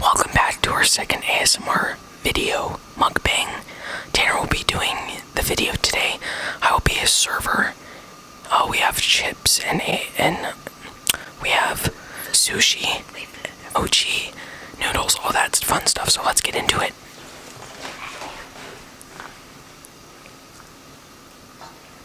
Welcome back to our second ASMR video mukbang. Tanner will be doing the video today. I will be his server. Uh, we have chips and and we have sushi, ochi, noodles, all that fun stuff. So let's get into it.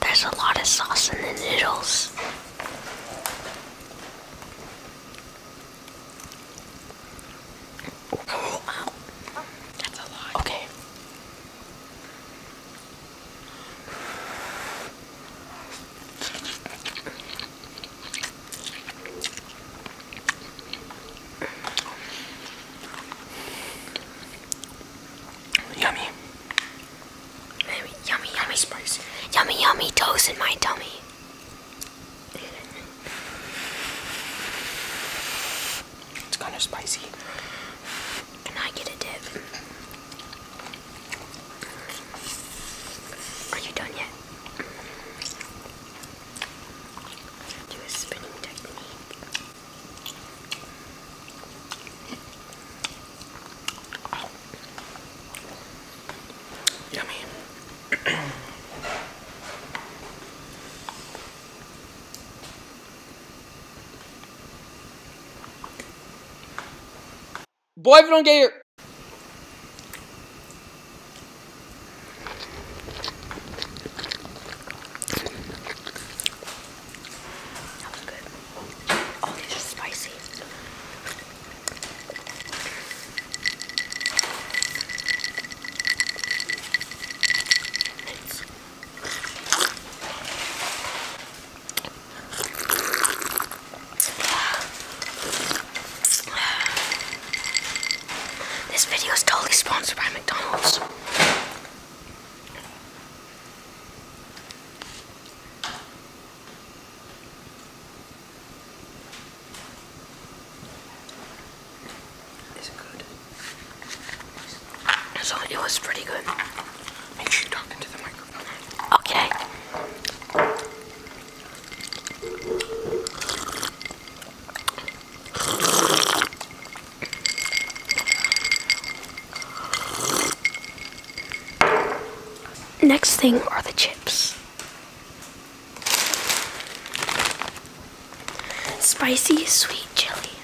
There's a lot of sauce in the noodles. Okay. Yummy. Yummy, yummy, yummy spice. Yummy, yummy toast in my tummy. It's kind of spicy. And I get a dip. Are you done yet? Do a spinning technique. Yummy. Boy, if you don't get your... That was good. Oh, these are spicy. this video is totally sponsored by McDonald's. Is it good? So it was pretty good. Make sure you talk into the microphone. Okay. Next thing are the chips. Spicy sweet chili.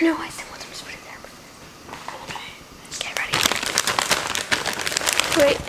No, I think we'll just put it there. Okay. Get ready. Wait.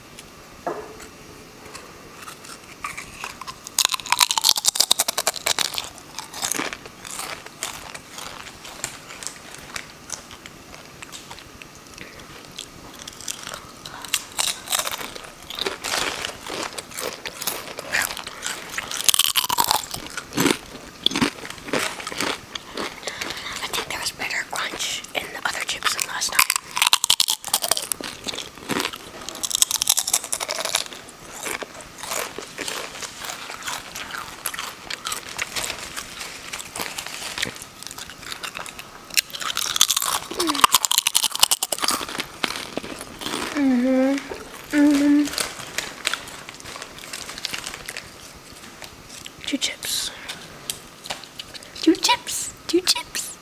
I think there was better crunch in the other chips than last time. Mm-hmm. mm-hmm. Mm-hmm. Two chips. Two chips. Two chips.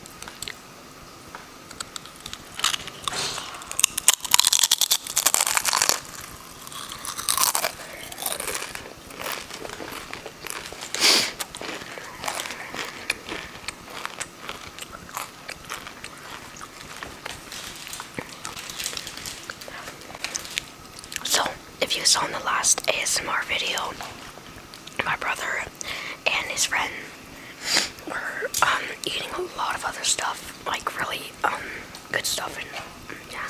So, if you saw in the last ASMR video, my brother and his friend were um, eating a lot of other stuff, like really um, good stuff, and yeah.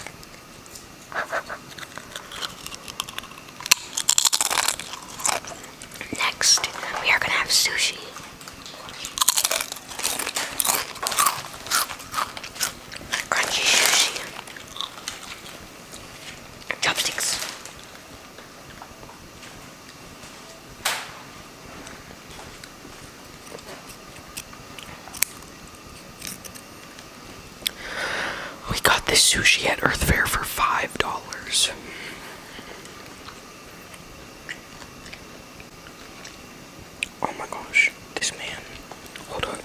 Next, we are gonna have sushi. Crunchy sushi. Chopsticks. We got this sushi at Earth Fair for five dollars. Oh my gosh, this man. Hold up.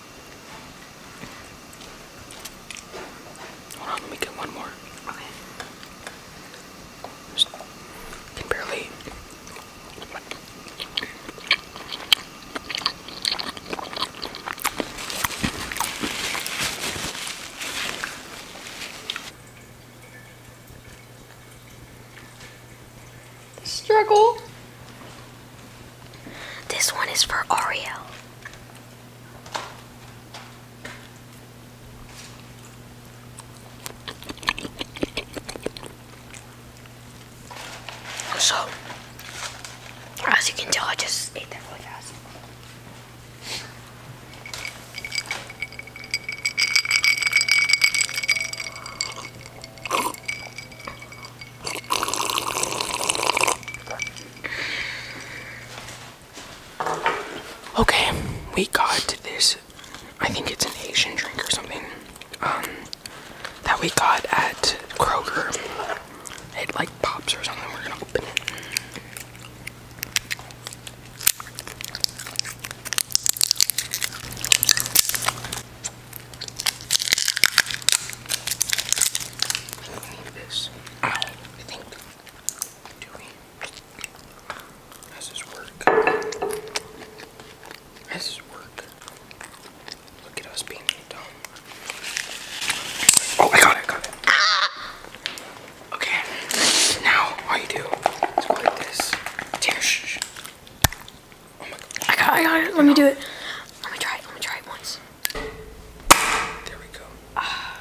Hold on, let me get one more. Okay. Just can barely. Struggle. This one is for Ariel. So, as you can tell, I just ate that really fast. Okay, we got this. I think it's an Asian drink or something. Um, that we got at Kroger. It like pops or something. We're gonna open it. I need this. Ow. I think doing has this work. Has this work. Look at us being dumb. Oh I got it, I got it. Okay. Now all you do is go like this. I got it, Let me do it. Let me try it. Let me try it once. There we go. Uh,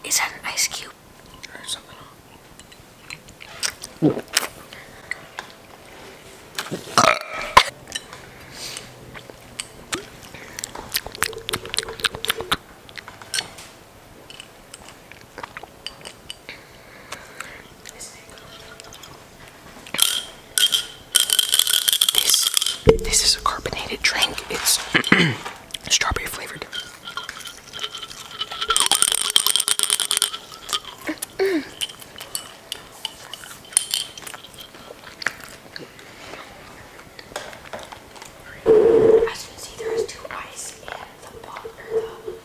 that an ice cube? Or something this this is a carbonated drink. It's strawberry flavored. As you can see, there is two ice in the pot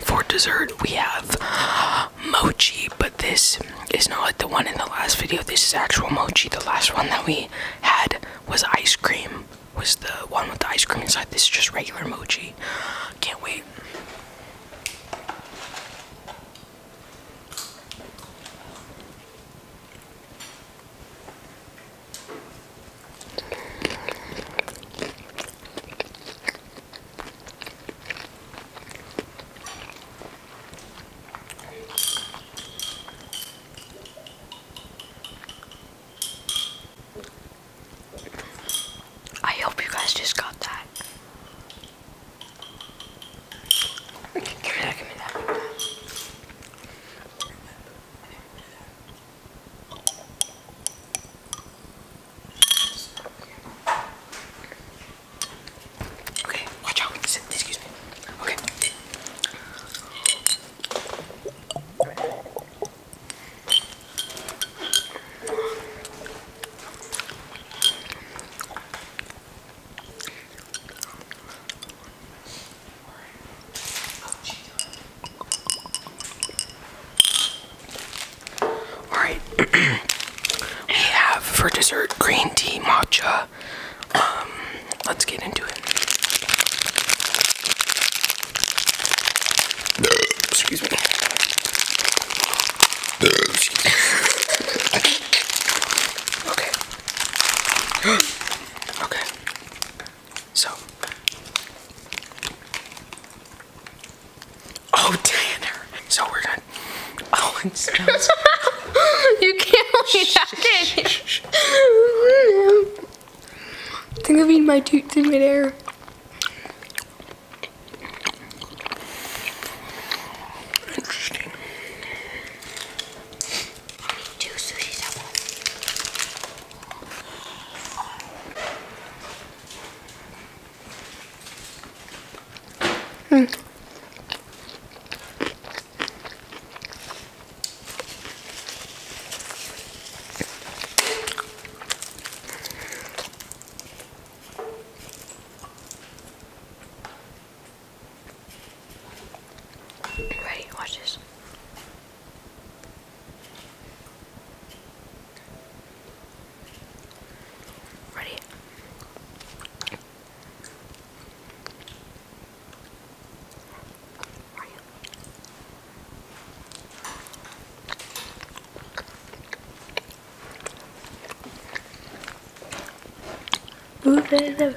For dessert, we have mochi, but this is not like the one in the last video. This is actual mochi. The last one that we had was ice cream, was the one with the ice cream inside. This is just regular mochi. Can't wait. I hope you guys just got that. Give me that, give me that. Okay, watch out. Excuse me. Okay. Oh, Alright, we have for dessert green tea matcha. Um, let's get into it. Excuse me. okay. okay. So. Oh, Tanner. So we're done. Oh, it smells. you can't leave that in. no. I think I've eaten my toots in midair. Interesting. Hmm. Ready, watch this. Ready? Move it.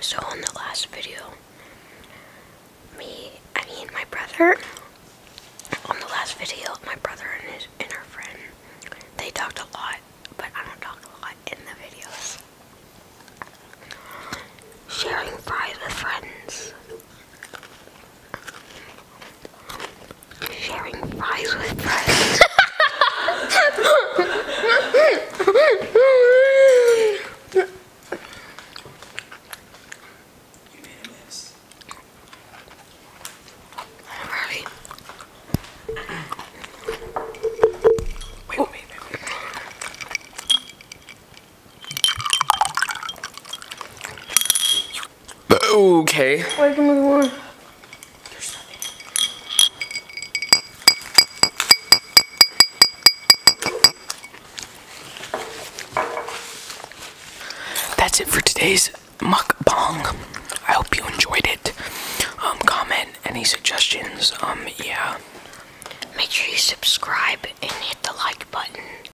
So on the last video, me, I mean my brother, on the last video, my brother and his inner friend, they talked a lot, but I don't talk a lot in the videos. Sharing private friends. Sharing fries with friends. you made a mess. Alright. Wait, wait, wait, wait. Okay. That's it for today's mukbang. I hope you enjoyed it. Um, comment any suggestions. Um, yeah. Make sure you subscribe and hit the like button.